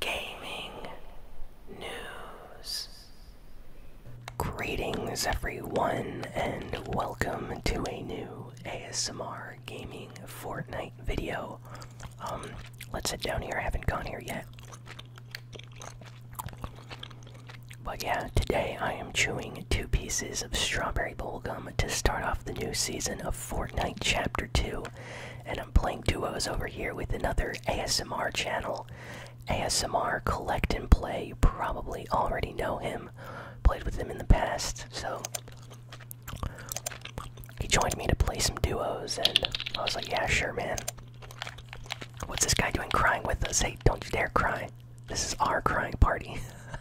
gaming news. Greetings, everyone, and welcome to a new ASMR gaming Fortnite video. Um, let's sit down here. I haven't gone here yet. But yeah, today I am chewing two pieces of strawberry gum to start off the new season of Fortnite Chapter 2. And I'm playing duos over here with another ASMR channel. ASMR Collect and Play. You probably already know him. Played with him in the past, so he joined me to play some duos, and I was like, yeah, sure, man. What's this guy doing crying with us? Hey, don't you dare cry. This is our crying party.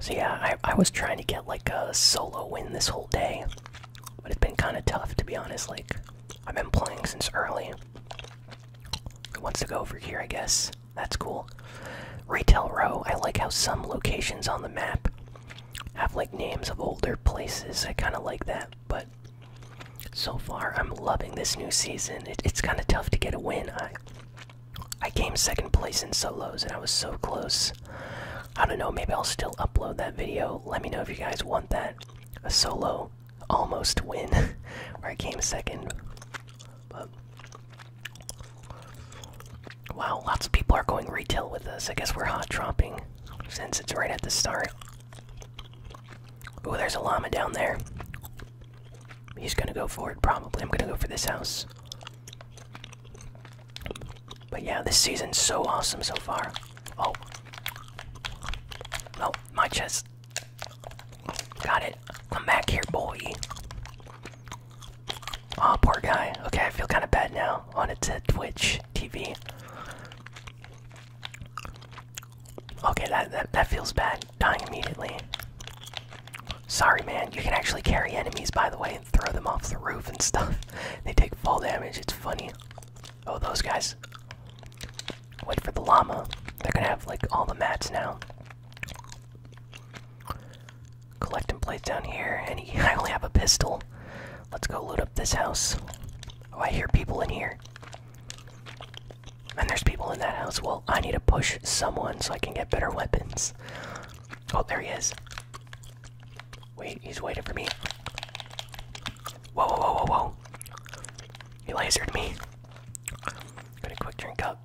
So yeah, I, I was trying to get like a solo win this whole day, but it's been kind of tough to be honest. Like I've been playing since early. It wants to go over here, I guess. That's cool. Retail Row. I like how some locations on the map have like names of older places. I kind of like that, but so far I'm loving this new season. it's kind of tough to get a win. I I came second place in solos, and I was so close. I don't know, maybe I'll still upload that video. Let me know if you guys want that. A solo almost win where I came second. But Wow, lots of people are going retail with us. I guess we're hot dropping since it's right at the start. Oh, there's a llama down there. He's gonna go for it, probably. I'm gonna go for this house. But yeah, this season's so awesome so far. Oh. No, oh, my chest. Got it. I'm back here, boy. Aw, oh, poor guy. Okay, I feel kind of bad now. Wanted to Twitch TV. Okay, that, that, that feels bad. Dying immediately. Sorry, man. You can actually carry enemies, by the way throw them off the roof and stuff. They take fall damage. It's funny. Oh, those guys. Wait for the llama. They're gonna have like all the mats now. Collecting plates down here, and I only have a pistol. Let's go loot up this house. Oh, I hear people in here. And there's people in that house. Well, I need to push someone so I can get better weapons. Oh, there he is. Wait, he's waiting for me. Whoa, whoa, whoa, whoa, whoa. He lasered me. Got a quick drink up.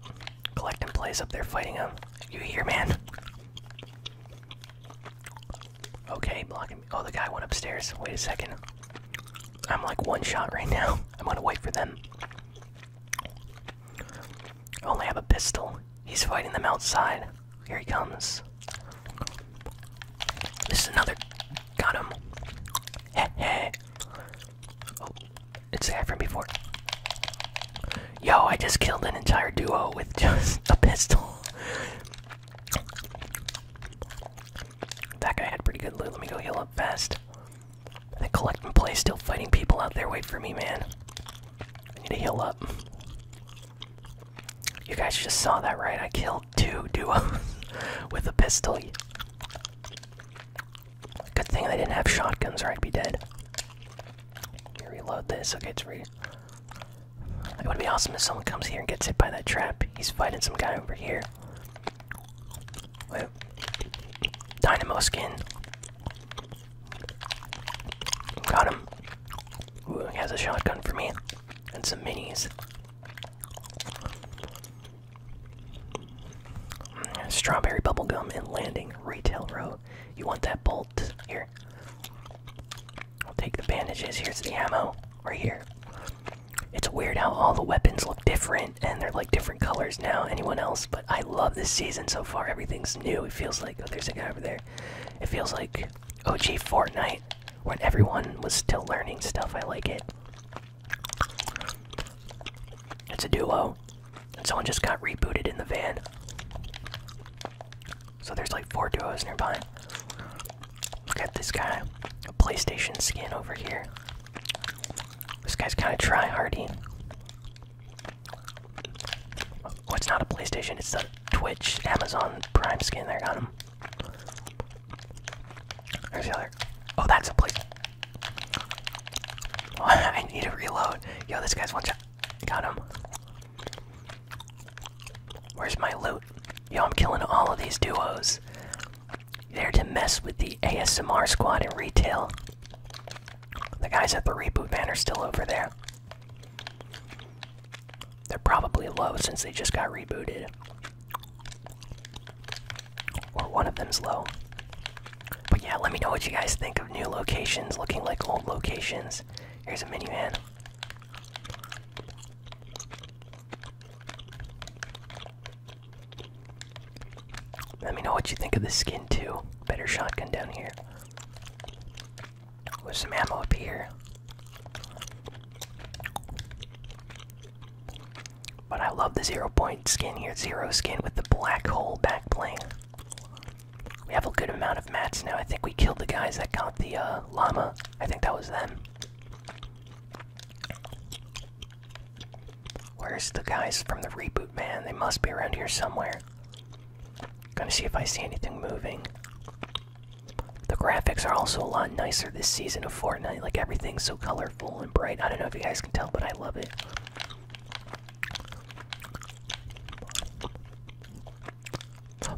Collecting plays up there fighting him. You here, man? Okay, blocking me. Oh, the guy went upstairs. Wait a second. I'm like one shot right now. I'm gonna wait for them. I only have a pistol. He's fighting them outside. Here he comes. This is another. Got him. Heh heh. Oh, it's the guy from before. Yo, I just killed an entire duo with just a pistol. That guy had pretty good loot. Let me go heal up fast. I collect and play, still fighting people out there. Wait for me, man. I need to heal up. You guys just saw that, right? I killed two duos with a pistol. Good thing they didn't have shotguns, or I'd be dead. reload this. Okay, it's ready. It would be awesome if someone comes here and gets hit by that trap. He's fighting some guy over here. Wait. Dynamo skin. Got him. Ooh, he has a shotgun for me. And some minis. Strawberry bubble gum and landing retail row. You want that bolt? Here. I'll take the bandages. Here's the ammo. Right here. It's weird how all the weapons look different and they're like different colors now. Anyone else? But I love this season so far. Everything's new. It feels like, oh, there's a guy over there. It feels like OG Fortnite when everyone was still learning stuff. I like it. It's a duo, and someone just got rebooted in the van. So there's like four duos nearby. Look at this guy, a PlayStation skin over here. This guy's kind of try-hardy. Oh, it's not a PlayStation, it's the Twitch Amazon Prime skin. There, got him. Where's the other? Oh, that's a place. I need to reload. Yo, this guy's one shot. Got him. Where's my loot? Yo, I'm killing all of these duos. They're to mess with the ASMR squad in retail. The guys at the reboot banner still over there. They're probably low since they just got rebooted. Or one of them's low. But yeah, let me know what you guys think of new locations looking like old locations. Here's a minivan. Let me know what you think of the skin too. Better shotgun down here with some ammo up here. But I love the zero point skin here, zero skin with the black hole backplane. We have a good amount of mats now. I think we killed the guys that got the uh, llama. I think that was them. Where's the guys from the reboot, man? They must be around here somewhere. Gonna see if I see anything moving. The graphics are also a lot nicer this season of Fortnite. Like everything's so colorful and bright. I don't know if you guys can tell, but I love it.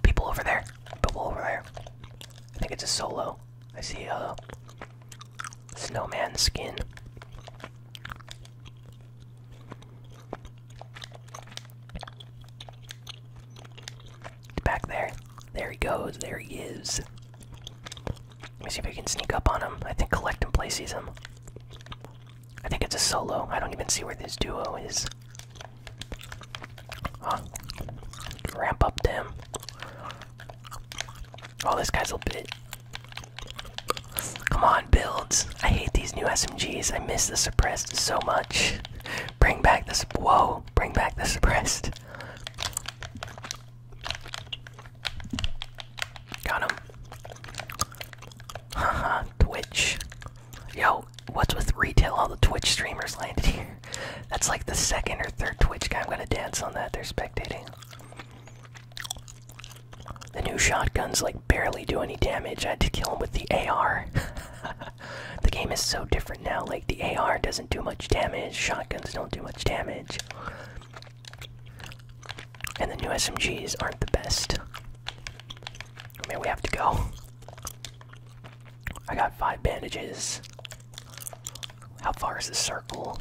People over there. People over there. I think it's a solo. I see a uh, snowman skin. Back there. There he goes. There he is. Let me see if I can sneak up on him. I think collect and play him. I think it's a solo. I don't even see where this duo is. Ramp up them. Oh, this guy's a bit. Come on, builds. I hate these new SMGs. I miss the suppressed so much. Bring back the whoa! Bring back the suppressed. Got him. Haha, Twitch. Yo, what's with retail? All the Twitch streamers landed here. That's like the second or third Twitch guy. I'm gonna dance on that. They're spectating. The new shotguns like barely do any damage. I had to kill him with the AR. the game is so different now. Like the AR doesn't do much damage. Shotguns don't do much damage. And the new SMGs aren't the best. I mean, we have to go. I got five bandages. How far is the circle?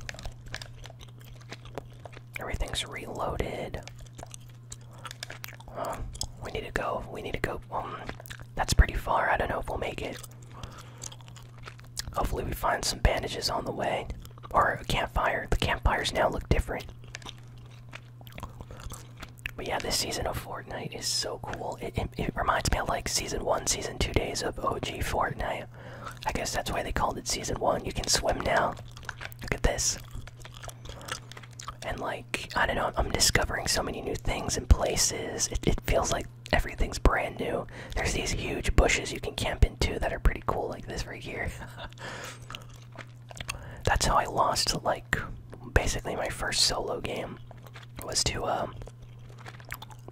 Everything's reloaded. we need to go. We need to go. Um, that's pretty far. I don't know if we'll make it. Hopefully, we find some bandages on the way. Or a campfire. The campfires now look different. But yeah, this season of Fortnite is so cool. it, it reminds me of like season 1, season 2 days of OG Fortnite. I guess that's why they called it season 1. You can swim now. Look at this. And like I don't know, I'm discovering so many new things and places. It, feels like everything's brand new. There's these huge bushes you can camp into that are pretty cool, like this right here. That's how I lost like basically my first solo game was to um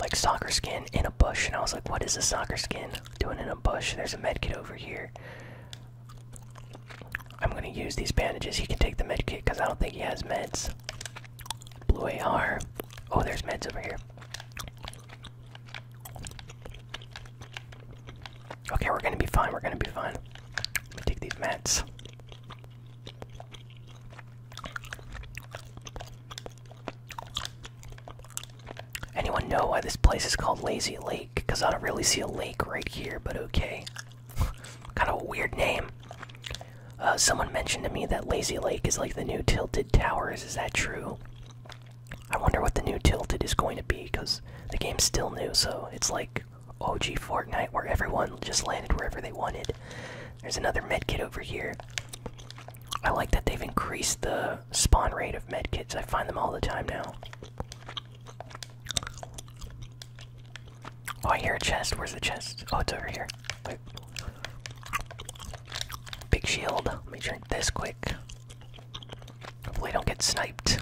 like soccer skin in a bush and I was like what is a soccer skin doing in a bush there's a medkit over here I'm gonna use these bandages. He can take the med kit because I don't think he has meds. Blue AR. Oh, there's meds over here. Okay, we're gonna be fine. We're gonna be fine. Let me take these meds. Anyone know why this place is called Lazy Lake? Because I don't really see a lake right here, but okay. kind of a weird name. Uh, someone mentioned to me that Lazy Lake is like the new Tilted Towers. Is that true? I wonder what the new Tilted is going to be because the game's still new, so it's like OG Fortnite where everyone just landed wherever they wanted. There's another medkit over here. I like that they've increased the spawn rate of medkits. I find them all the time now. Oh, I hear a chest. Where's the chest? Oh, it's over here. Big shield. Let me drink this quick. Hopefully, don't get sniped.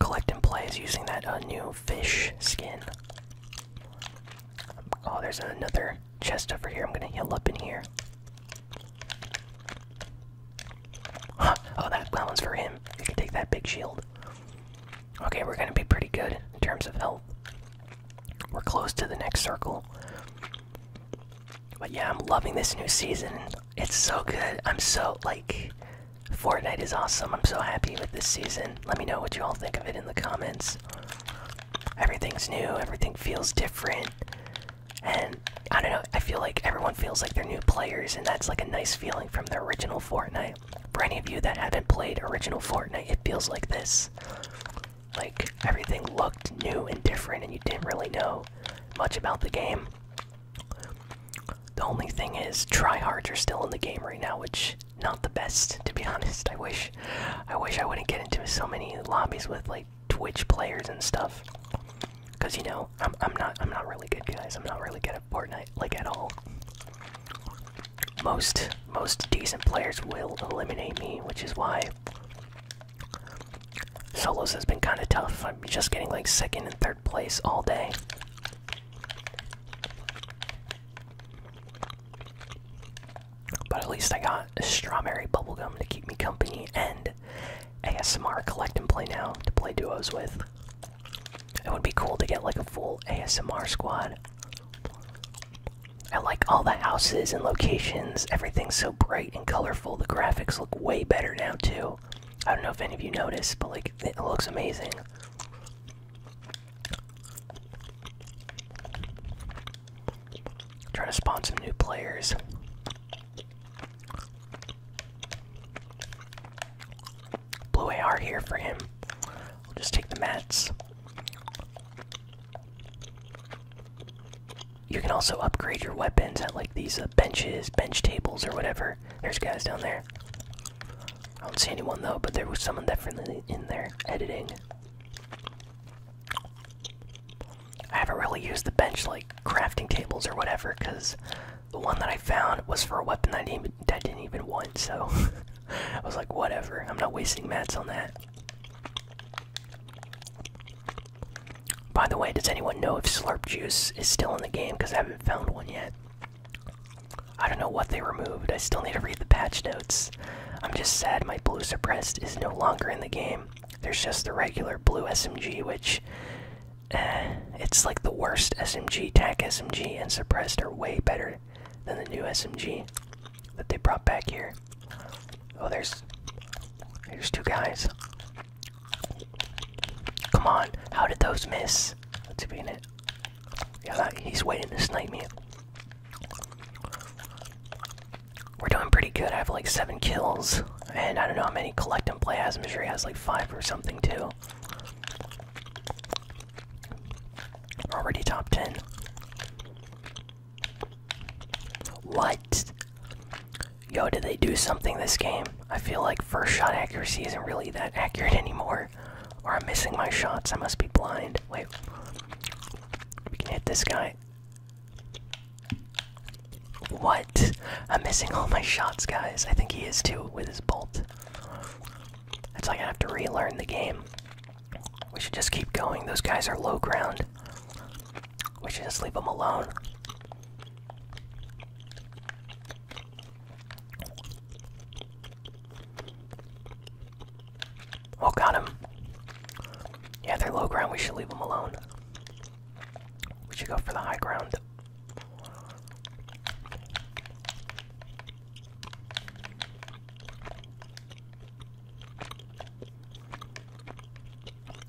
Collect and play is using that uh, new fish skin. Oh, there's another chest over here. I'm gonna heal up in here oh, that, that one's for him. You can take that big shield. Okay, we're gonna be pretty good in terms of health. We're close to the next circle. But yeah, I'm loving this new season. It's so good. I'm so, like, Fortnite is awesome. I'm so happy with this season. Let me know what you all think of it in the comments. Everything's new, everything feels different. And I don't know, I feel like everyone feels like they're new players, and that's like a nice feeling from the original Fortnite. For any of you that haven't played original Fortnite, it feels like this. Like everything looked new and different, and you didn't really know much about the game. The only thing is, tryhards are still in the game right now, which not the best to be honest. I wish, I wish I wouldn't get into so many lobbies with like Twitch players and stuff. Cause you know, I'm I'm not I'm not really good guys. I'm not really good at Fortnite, like at all. Most most decent players will eliminate me, which is why solos has been kind of tough. I'm just getting like second and third place all day. But at least I got a strawberry bubblegum to keep me company and ASMR collect and play now to play duos with. It would be cool to get like a full ASMR squad. I like all the houses and locations. Everything's so bright and colorful. The graphics look way better now, too. I don't know if any of you noticed, but like it looks amazing. Trying to spawn some new players. Blue AR here for him. We'll just take the mats. You can also upgrade your weapons at like these uh, benches, bench tables, or whatever. There's guys down there. I don't see anyone though, but there was someone definitely in there editing. I haven't really used the bench like crafting tables or whatever because the one that I found was for a weapon that I didn't even, want. So I was like, whatever. I'm not wasting mats on that. By the way, does anyone know if Slurp Juice is still in the game? Because I haven't found one yet. I don't know what they removed. I still need to read the patch notes. I'm just sad my blue suppressed is no longer in the game. There's just the regular blue SMG, which eh, it's like the worst SMG. TAC SMG and suppressed are way better than the new SMG that they brought back here. Oh, there's there's two guys. Come on, how did those miss? Let's see if we Yeah, he's waiting to snipe me we're doing pretty good. I have like seven kills, and I don't know how many collect and play has. I'm sure he has like five or something too. Already top ten. What? Yo, did they do something this game? I feel like first shot accuracy isn't really that accurate anymore. Or I'm missing my shots. I must be blind. Wait. We can hit this guy. What? I'm missing all my shots, guys. I think he is too with his bolt. It's like I have to relearn the game. We should just keep going. Those guys are low ground. We should just leave them alone. Oh, got him. Yeah, they're low ground. We should leave them alone. We should go for the high ground.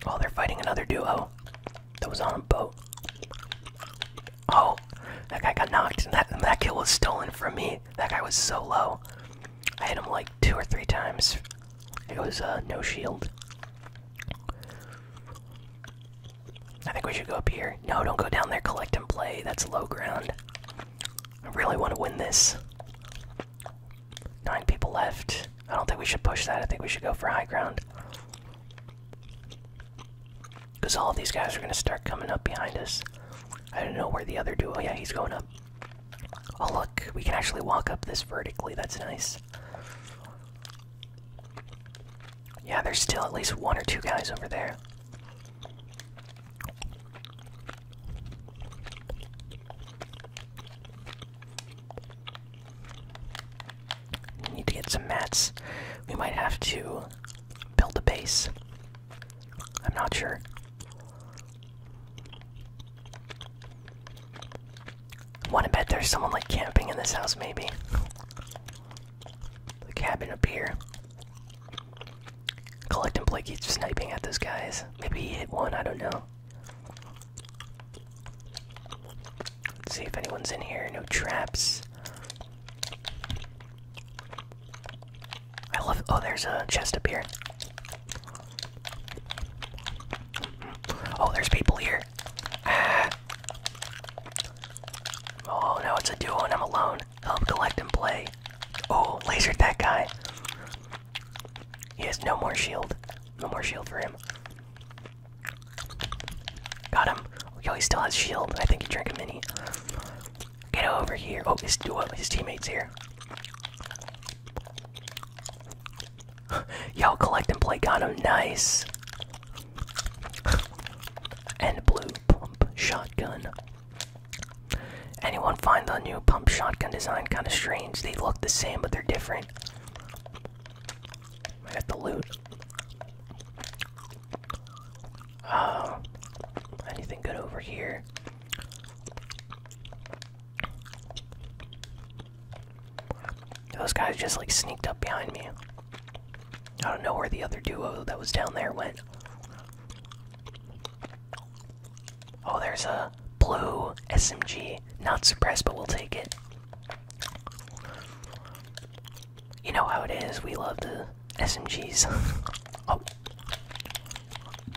Oh, they're fighting another duo that was on a boat. Oh, that guy got knocked, and that, that kill was stolen from me. That guy was so low. I hit him like two or three times. It was uh, no shield. I think we should go up here. No, don't go down there. Collect and play. That's low ground. I really want to win this. Nine people left. I don't think we should push that. I think we should go for high ground. Because all these guys are going to start coming up behind us. I don't know where the other duo. Oh, yeah, he's going up. Oh look, we can actually walk up this vertically. That's nice. Yeah, there's still at least one or two guys over there. need to get some mats. We might have to build a base. I'm not sure. Wanna bet there's someone like camping in this house, maybe? The cabin up here. Collecting Blake sniping at those guys. Maybe he hit one, I don't know. see if anyone's in here. No traps. I love. Oh, there's a chest up here. Oh, there's people here. Ah. Oh, no, it's a duo and I'm alone. Help collect and play. Oh, lasered that guy. He has no more shield. No more shield for him. Got him. Yo, he still has shield. I think he drank a mini. Get over here. Oh, his duo, his teammates here. Y'all collect and play got Nice. and blue pump shotgun. Anyone find the new pump shotgun design kind of strange? They look the same, but they're different. I got the loot. Uh, anything good over here? Those guys just like sneaked up behind me. I don't know where the other duo that was down there went. Oh, there's a blue SMG. Not surprised, but we'll take it. You know how it is. We love the SMGs. oh.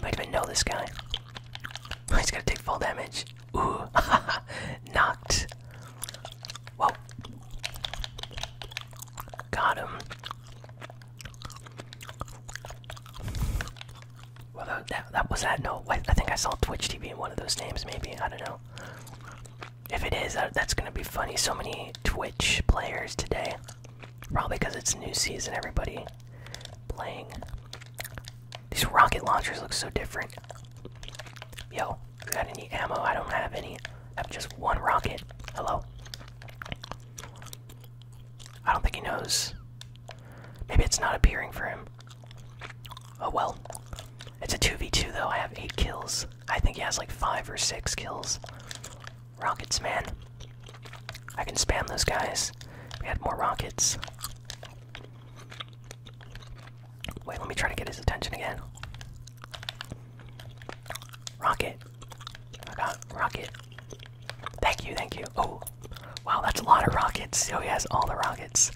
Might even know this guy. He's gonna take full damage. Ooh, knocked. Whoa. Got him. Well, that, that, was that. No, wait, I think I saw Twitch TV in one of those names, maybe. I don't know. If it is, that's gonna be funny. So many Twitch players today. Probably because it's new season, everybody playing these rocket launchers look so different. Yo, you got any ammo? I don't have any. I have just one rocket. Hello? I don't think he knows. Maybe it's not appearing for him. Oh well. It's a 2v2 though. I have 8 kills. I think he has like 5 or 6 kills. Rockets, man. I can spam those guys. We had more rockets. Wait, let me try to get his attention again. Rocket. I oh got rocket. Thank you, thank you. Oh, wow, that's a lot of rockets. Oh, he has all the rockets.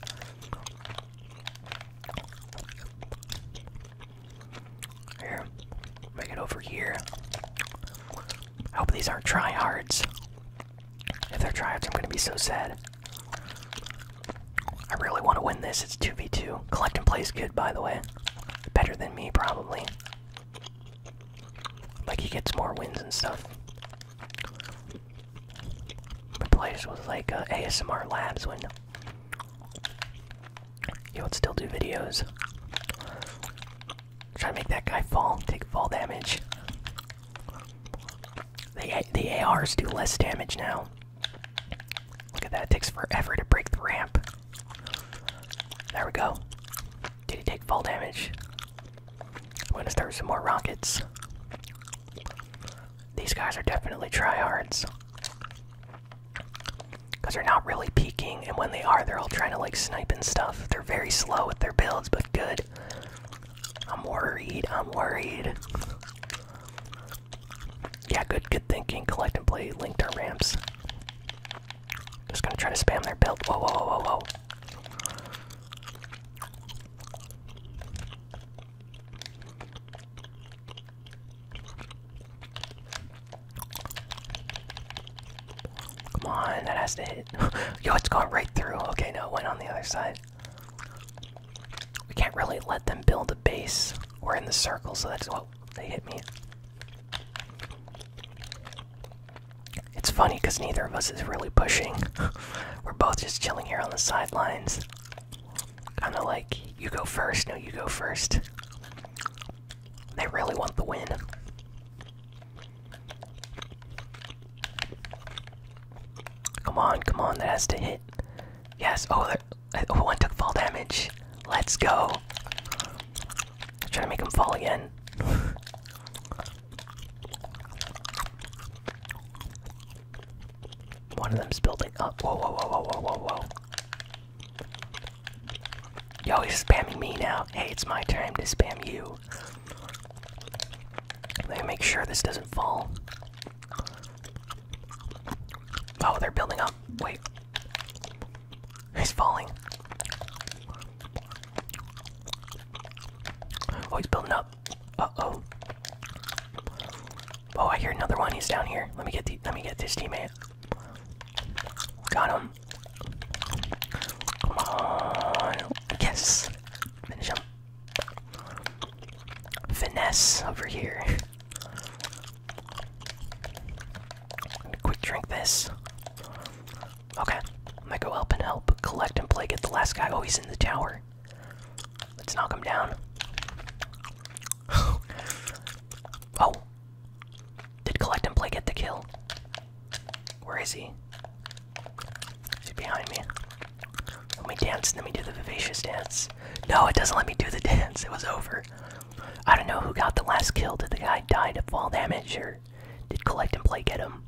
Here, make it over here. I hope these aren't tryhards. If they're tryouts, I'm gonna be so sad. I really want to win this. It's 2v2. Collect and plays good, by the way. Better than me, probably. Like, he gets more wins and stuff. But plays with, like, uh, ASMR Labs when he would still do videos. Try to make that guy fall, take fall damage. The, the ARs do less damage now. Look at that, it takes forever to break the ramp. There we go. Did he take fall damage? I'm gonna start some more rockets. These guys are definitely tryhards. Because they're not really peeking, and when they are, they're all trying to like snipe and stuff. They're very slow with their builds, but good. I'm worried. I'm worried. Yeah, good, good thinking. Collect and play. Link to ramps. Just gonna try to spam their build. Whoa, whoa, whoa, whoa, whoa. Come on, that has to hit. Yo, it's going right through. Okay, no, it went on the other side. We can't really let them build a base. We're in the circle, so that's what oh, they hit me. It's funny because neither of us is really pushing. We're both just chilling here on the sidelines. Kind of like, you go first, no, you go first. They really want the win. Come on, come on, that has to hit. Yes, oh, that, oh one took fall damage. Let's go. I'm trying to make him fall again. One of them's building up. Whoa, whoa, whoa, whoa, whoa, whoa, whoa. Yo, he's spamming me now. Hey, it's my turn to spam you. Let me make sure this doesn't fall. Oh, they're building up. Wait. He's falling. Oh, he's building up. Uh-oh. Oh, I hear another one. He's down here. Let me get the let me get this teammate. Got him. Come on. Yes. Finish him. Finesse over here. Quick drink this. Okay. I'm go up and help collect and play. Get the last guy. Oh, he's in the tower. Let's knock him down. oh. Did collect and play get the kill? Where is he? Is he behind me? Let me dance, let me do the vivacious dance. No, it doesn't let me do the dance. It was over. I don't know who got the last kill. Did the guy die to fall damage or did collect and play get him?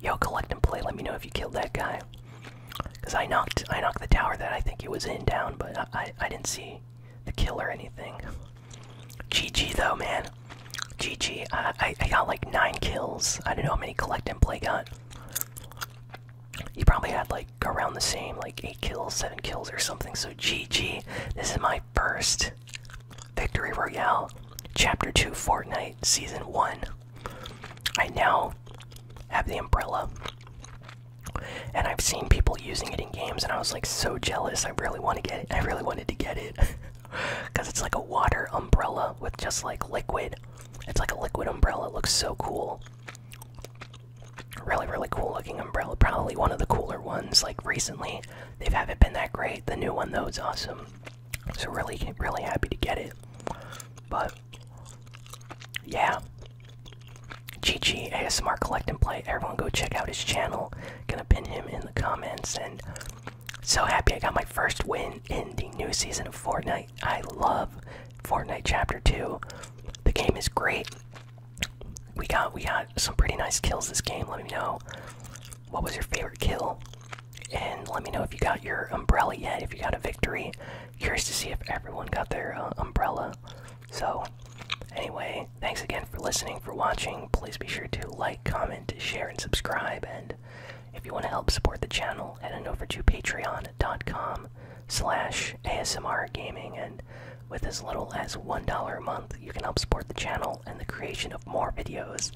Yo, collect and play, let me know if you killed that guy. Cause I knocked I knocked the tower that I think it was in down, but I, I didn't see the kill or anything. GG though, man. GG. Uh, I, I, got like nine kills. I don't know how many collect and play got. You probably had like around the same, like eight kills, seven kills, or something. So GG. This is my first victory royale, chapter two, Fortnite, season one. I now have the umbrella, and I've seen people using it in games, and I was like so jealous. I really want to get it. I really wanted to get it. Because it's like a water umbrella with just like liquid. It's like a liquid umbrella. It looks so cool. Really, really cool looking umbrella. Probably one of the cooler ones. Like recently, they haven't been that great. The new one, though, is awesome. So, really, really happy to get it. But, yeah. GG ASMR Collect and Play. Everyone go check out his channel. Gonna pin him in the comments and so happy I got my first win in the new season of Fortnite. I love Fortnite Chapter 2. The game is great. We got we got some pretty nice kills this game. Let me know what was your favorite kill. And let me know if you got your umbrella yet, if you got a victory. Curious to see if everyone got their uh, umbrella. So, anyway, thanks again for listening, for watching. Please be sure to like, comment, share, and subscribe. If you want to help support the channel, head on over to patreon.com slash ASMR gaming and with as little as $1 a month you can help support the channel and the creation of more videos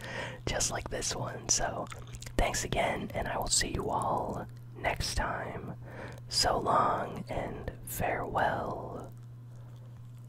just like this one. So thanks again and I will see you all next time. So long and farewell.